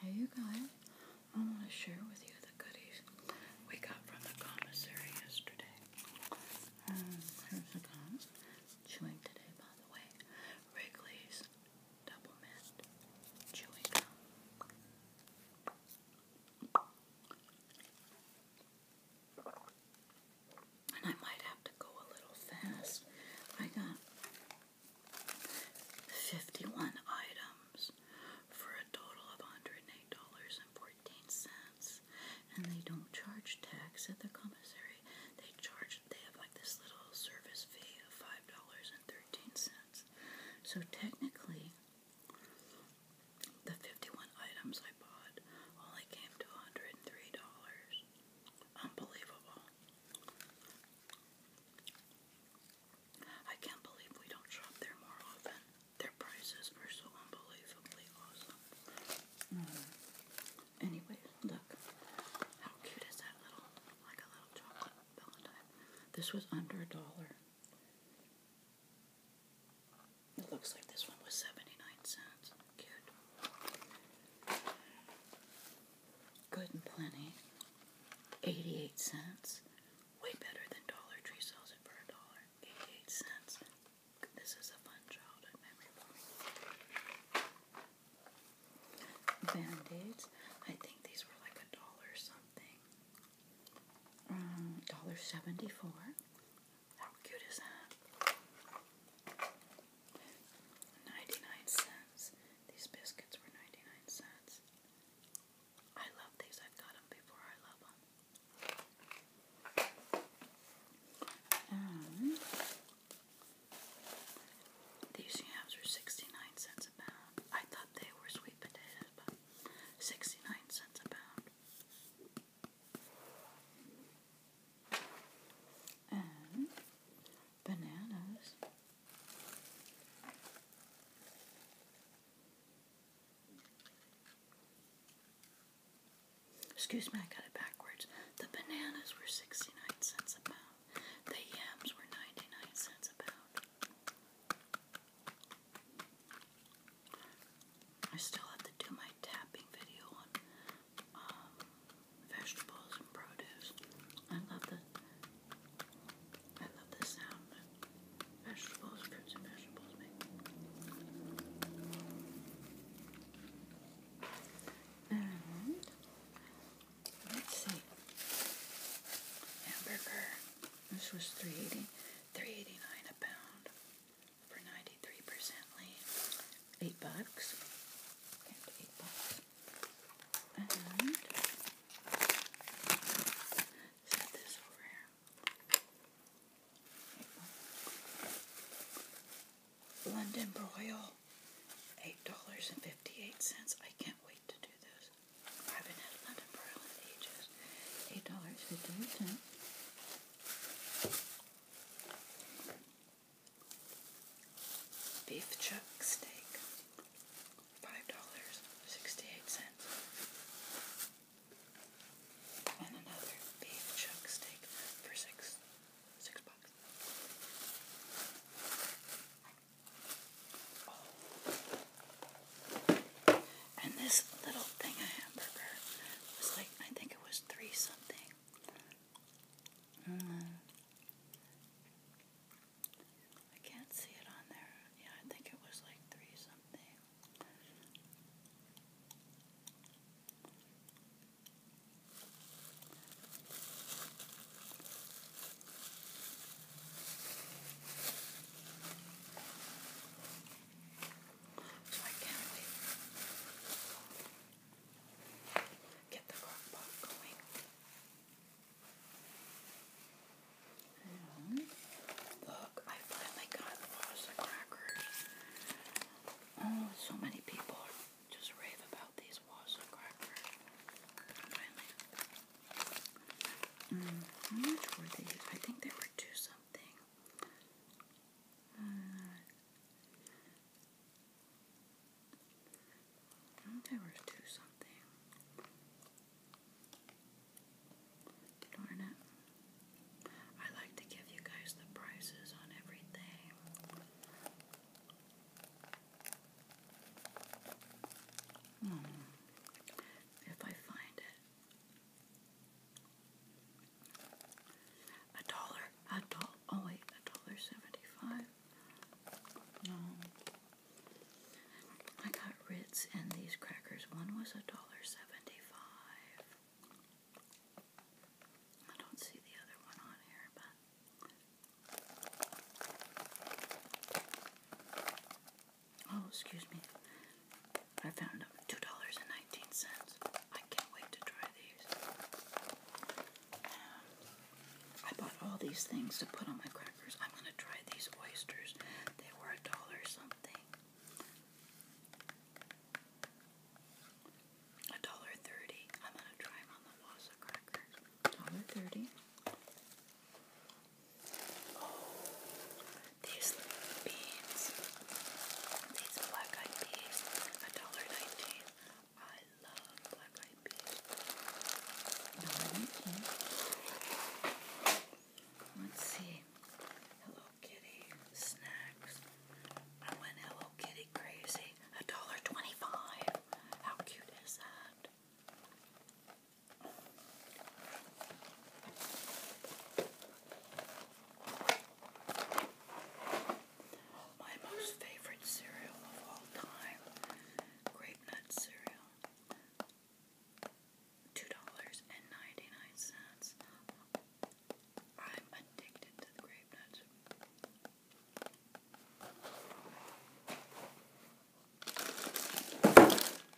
Hey you guys, I want to share with you the goodies we got from the commissary yesterday. Um, here's Chewing today, by the way. Wrigley's Double Mint Chewing Gum. And I might have to go a little fast. I got 51 items for a total of $108.14. And they don't charge tax at the commissary. They charge, they have like this little service fee of $5.13. So technically, the 51 items I bought only came to $103. Unbelievable. I can't believe we don't shop there more often. Their prices are so unbelievably awesome. Mm. Anyway, look. How cute is that little, like a little chocolate valentine? This was under a dollar. It looks like this one was 79 cents. Cute. Good and Plenty, 88 cents. Way better than Dollar Tree sells it for a dollar. 88 cents. This is a fun childhood memory Band-Aids. I think these were like a dollar something. Um, dollar seventy-four. How cute is that? Ninety-nine cents. These biscuits were 99 cents. I love these. i got them before. I love them. these yams were 69 cents a pound. I thought they were sweet potatoes, but 69 cents a pound bananas. Excuse me, I got it backwards. The bananas were 69 cents a pound. The yams were 99 cents a pound. I still have to do my tapping video on um, vegetables and produce. I love the I love the sound vegetables, fruits and vegetables And let's see. Hamburger. This was three eighty three eighty nine a pound for ninety three percent lean. Eight bucks. eight bucks. London broil, eight dollars and fifty-eight cents. I can't wait to do this. I have London broil Eight dollars fifty-eight cents. Beef chuck steak, five dollars sixty-eight cents, and another beef chuck steak for six six bucks. And this little thing a hamburger was like I think it was three something. Mm. I can't see it on there. Yeah, I think it was like three something. So I can't Get the crock going. And look, I finally got lots crackers. Oh, so many people just rave about these walls of crackers. Mm, how much were these? I think they were two something. Uh, there was two something. Darn it. I like to give you guys the prices on everything. Hmm. If I find it. A dollar, a dollar, oh wait, a dollar seventy-five. I got Ritz and these crackers. One was a dollar seventy-five. I don't see the other one on here, but Oh, excuse me. I found them. $2.19. I can't wait to try these. I bought all these things to put on my crackers. I'm gonna try these oysters. They were a dollar something. A dollar thirty. I'm gonna try them on the Wassa crackers. Dollar thirty. Oh, these beans. These black eyed peas. A dollar nineteen love black eyed peas. Let's see. Hello Kitty snacks. I went Hello Kitty crazy. A dollar twenty-five. How cute is that? my most favorite cereal of all time, grape nut cereal, two dollars and ninety nine cents. I'm addicted to the grape nuts.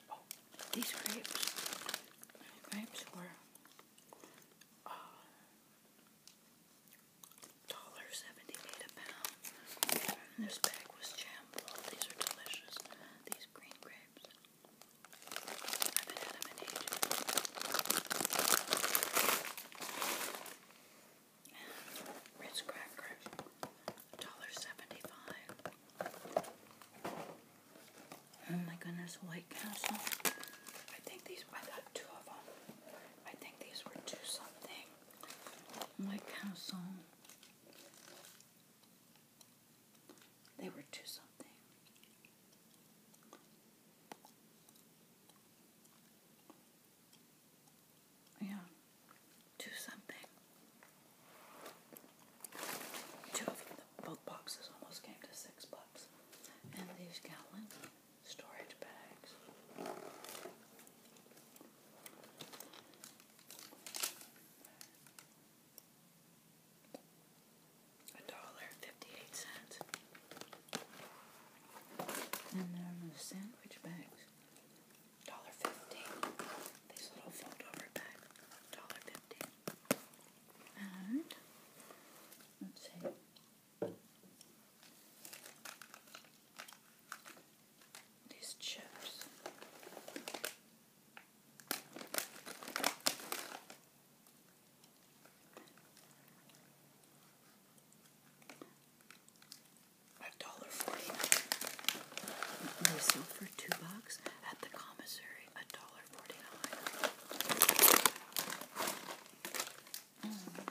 Oh, these grapes, grapes were uh, $1.78 a pound. this bag was jammed. These are delicious. These green grapes. I haven't had them ages. Ritz crackers. $1.75. Oh my goodness, White Castle. I think these, I got two of them. I think these were two something. Like calzone. They were two something. Yeah, two something. of them, both boxes almost came to six bucks. And these gallons storage bags. A dollar fifty-eight cents. And there the sandwich bags. Dollar fifty. These little fold over bags. Dollar fifty. And let's see these chips. A dollar forty. They sell for two bucks at the commissary. A dollar forty-nine. Mm.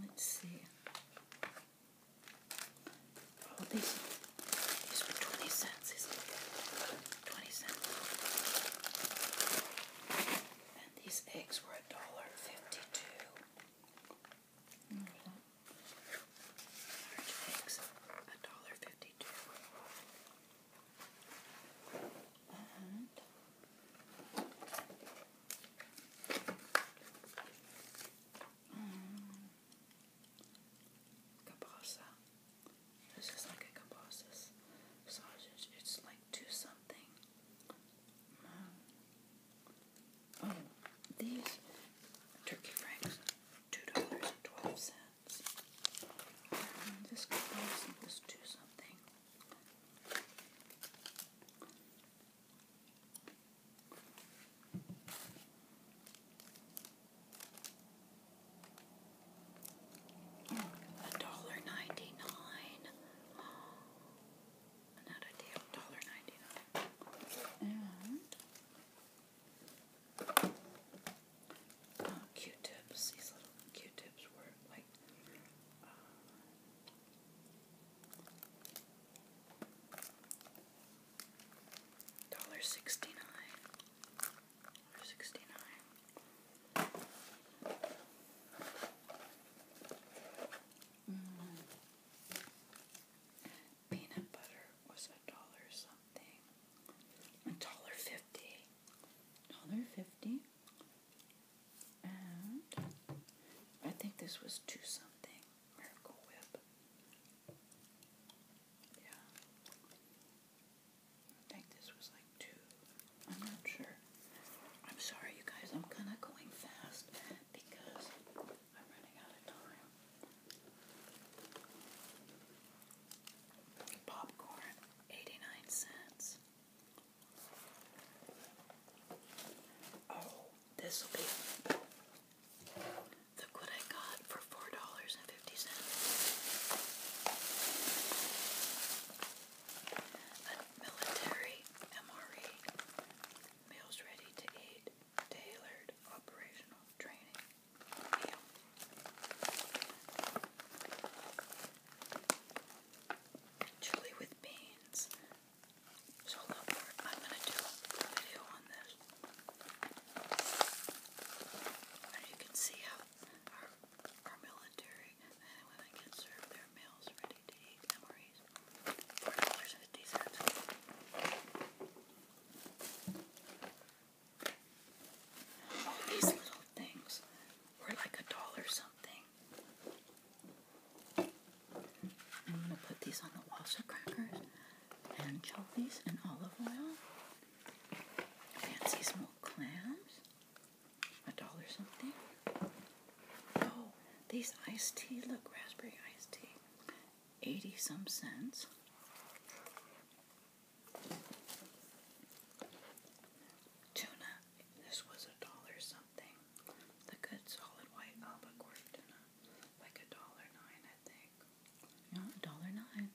Let's see. these, these were 20 cents. 20 cents. And these eggs were a dollar fifty-two. Large eggs, a dollar fifty-two. Cabasa. Mm. It's just like a cabasa sausage. It's like two something. Mm. oh, these turkey franks, two dollars and twelve cents. Mm, this cabasa was two something. A dollar ninety nine. Another oh, deal, dollar ninety nine. And uh, Q-tips. These little Q-tips were like uh, Dollar sixty nine. Dollar sixty nine. Mm -hmm. Peanut butter was a dollar something. A dollar fifty. Dollar fifty. I think this was two something Miracle Whip. Yeah. I think this was like two. I'm not sure. I'm sorry, you guys. I'm kind of going fast because I'm running out of time. Popcorn, 89 cents. Oh, this will be. Look what I got for four dollars and fifty cents. A military MRE meals ready to eat, tailored operational training meal. Truly with beans. So look, I'm gonna do a video on this. And you can see how our, our military men and women get served their meals ready to eat MREs. Four dollars and fifty cents. All these little things were like a dollar something. I'm going to put these on the Walser crackers, anchovies, and olive oil. Fancy smoked clams, a dollar something. Oh, these iced tea, look, raspberry iced tea, 80 some cents tuna. This was a dollar something. The good solid white albacore tuna. Like a dollar nine, I think. No, a dollar nine.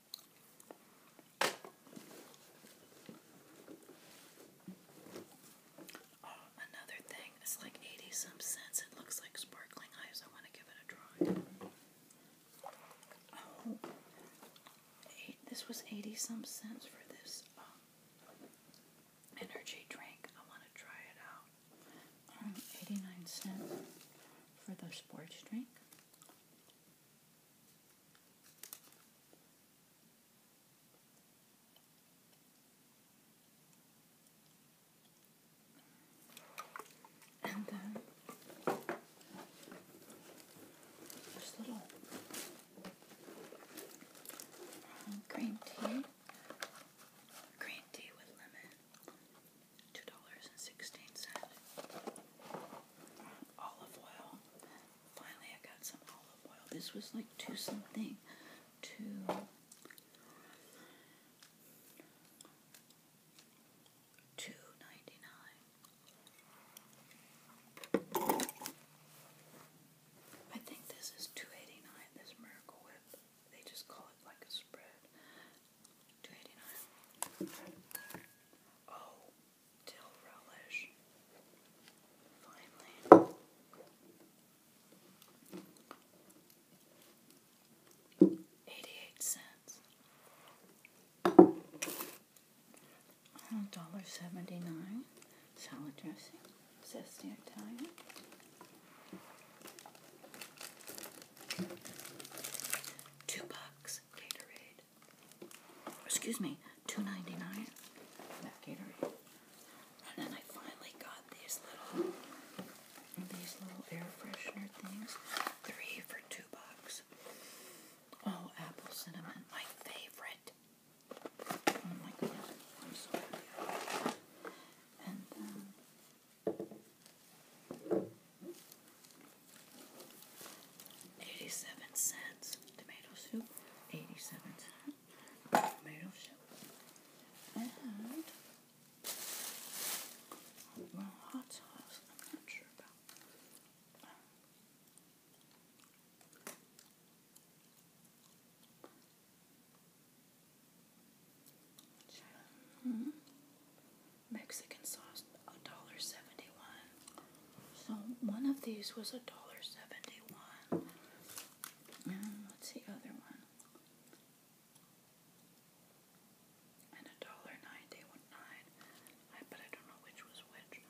Oh, another thing. It's like 80 some cents. It looks like sparkling ice. I want to give it a try. Oh, eight, this was 80 some cents for this um, energy drink. I want to try it out. Um, 89 cents for the sports drink. And then this little green tea. Green tea with lemon. Two dollars and sixteen cents. Olive oil. Finally, I got some olive oil. This was like two something. Two. Two ninety nine. I think this is two eighty nine. This Miracle Whip. They just call it like a spread. Two eighty nine. Oh, dill relish. Finally. Eighty eight cents. $1.79. Salad dressing. Zesty Italian. Two bucks. Gatorade. Excuse me. $2.99. That Gatorade. And then I finally got these little these little air freshener things. Three for two bucks. Oh, apple cinnamon. My favorite. I'm sorry. 87 cents tomato soup, 87 cents tomato soup, and hot sauce, I'm not sure about. Hmm. Mexican sauce, a dollar seventy-one. So one of these was a dollar seventy-one. what's the other one? And a dollar ninety-nine. I but I don't know which was which.